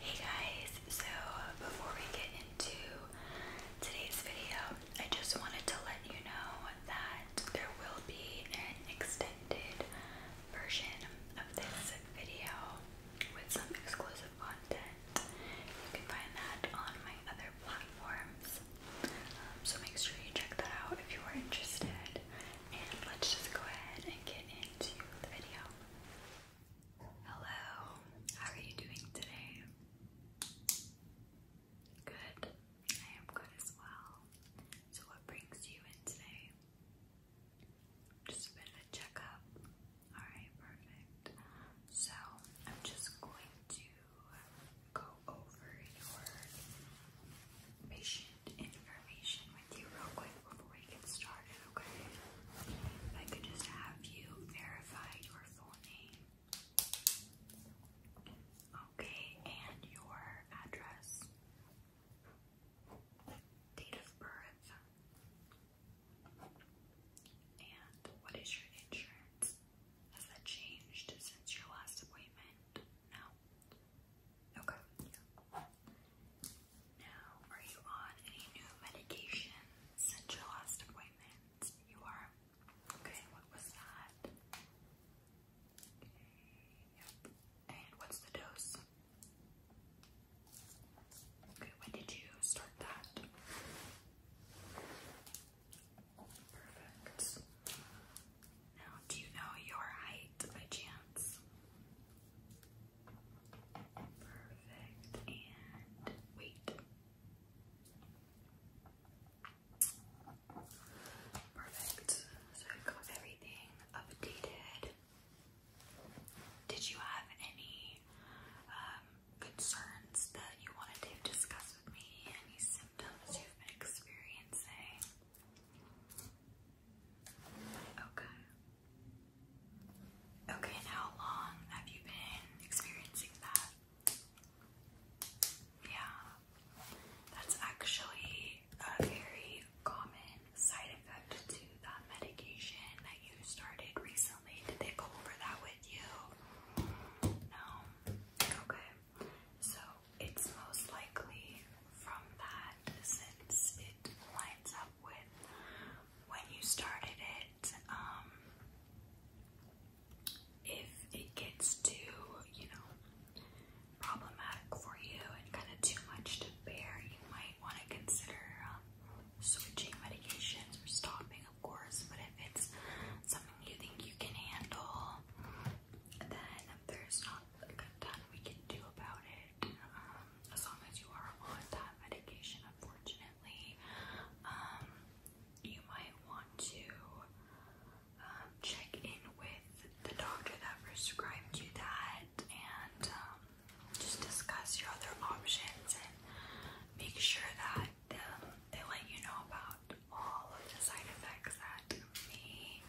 Hey guys, so before we get into today's video, I just wanted to let you know that there will be an extended version of this video with some exclusive content. You can find that on my other platforms. Um, so make sure you check that out if you are interested. And let's just go ahead and get into the video. Hello, how are you doing today? Good, I am good as well. So, what brings you in today? Just been a checkup. Alright, perfect. So, I'm just going to go over your patient information with you real quick before we get started, okay? If I could just have you verify your full name. Okay, and your address. Date of birth. And what is your insurance? Has that changed since your last appointment? No. Okay. Yeah. Now, are you on any new medication since your last appointment? You are? Okay, what was that? Okay, yep. And what's the dose? Okay, when did you start that? Perfect. Now, do you know your height by chance? Perfect. And wait. Perfect. So I got everything updated. Did you have any um, concerns that you wanted to discuss with me? Any symptoms you've been experiencing? Okay. Okay, how long have you been experiencing that? Yeah, that's actually a very common side effect to that medication that you started recently. Did they go over that with you? No? Okay, so it's most likely from that since it lines up with when you started it. Um, if it gets too, you know, problematic for you and kind of too much to bear, you might want to consider um, switching medications or stopping, of course. But if it's something you think you can handle, then there's not a good ton we can do about it it um, as long as you are on that medication. Unfortunately, um, you might want to um, check in with the doctor that prescribed you that and um, just discuss your other options and make sure that um, they let you know about all of the side effects that may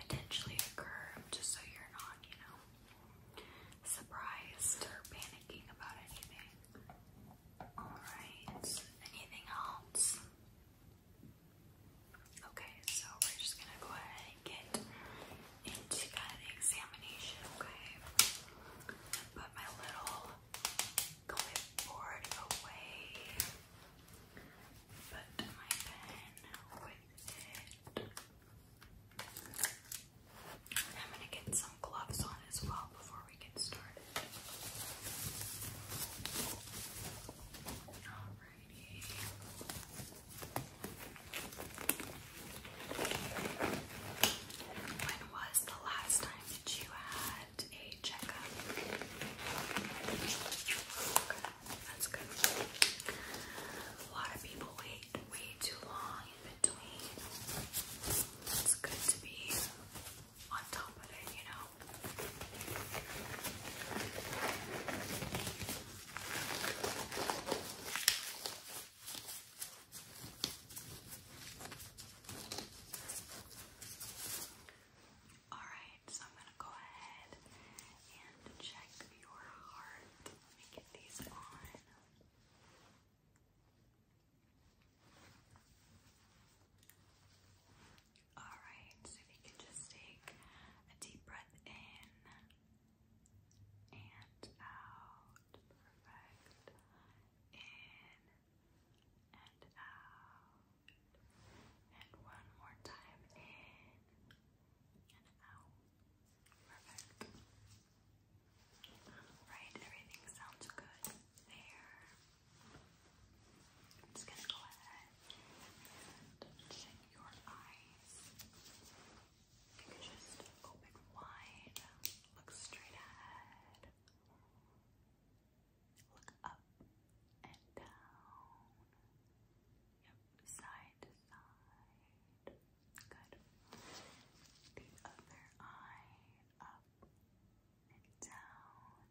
potentially occur just so you're not, you know, surprised or panicking about anything. Alright, anything else? Okay, so we're just gonna go ahead and get into the examination, okay? Put my little clipboard away. Put my pen with it. I'm going to get some gloves on as well before we get started. Alrighty. When was the last time that you had a checkup? That's good. A lot of people wait way too long in between. It's good to be on top of it, you know. All right, so I'm going to go ahead and check your heart. Let me get these on. Alright, so you could just take a deep breath in and out. Perfect. In and out. And one more time in and everything sounds good there. just gonna go ahead and check your eyes. You can just open wide, look straight ahead, look up and down. Yep, side to side. Good. The other eye up and down,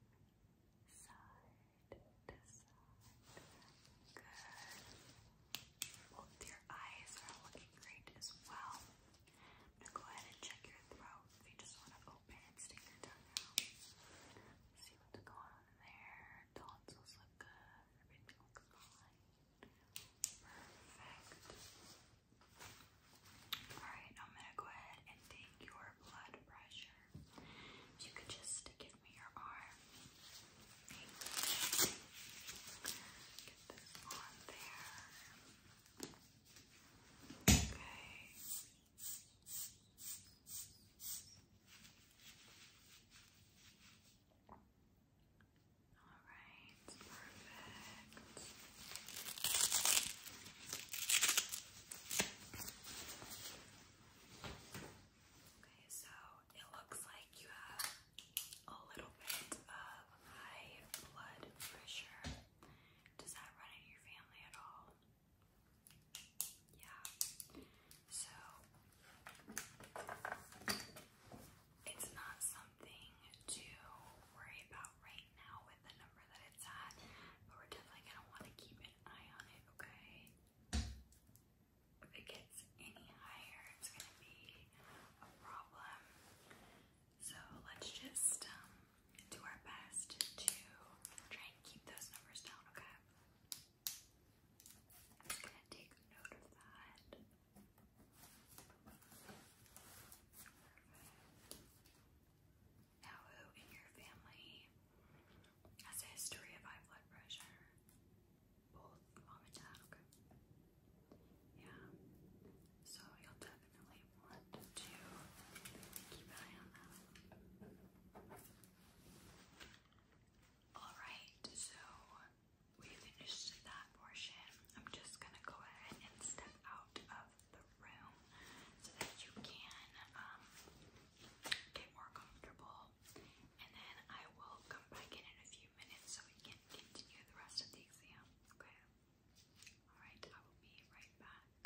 side to side. Good. Both your eyes are looking great as well. I'm gonna go ahead and check your throat if you just want to open and stick your tongue out. See what's going on there. Tonsils look good. Everything looks fine. Perfect. Alright, I'm gonna go ahead and take your blood pressure. you could just give me your arm. Thank you. Get this on there. Okay, all right, perfect. Okay, so it looks like you have a little bit of high blood pressure. Does that run in your family at all? Yeah. So it's not something to worry about right now with the number that it's at, but we're definitely going to want to keep an eye on it, okay? If it gets any higher, it's going to be a problem. So let's just um, do our best to try and keep those numbers down, okay? Just gonna take note of that. Now, who in your family has a history of high blood pressure? Both mom and dad, Yeah. So you'll definitely want to keep an eye on that. Alright, so we finished that portion, I'm just gonna go ahead and step out of the room so that you can um, get more comfortable. And then I will come back in in a few minutes so we can continue the rest of the exam. Okay? Alright, I will be right back.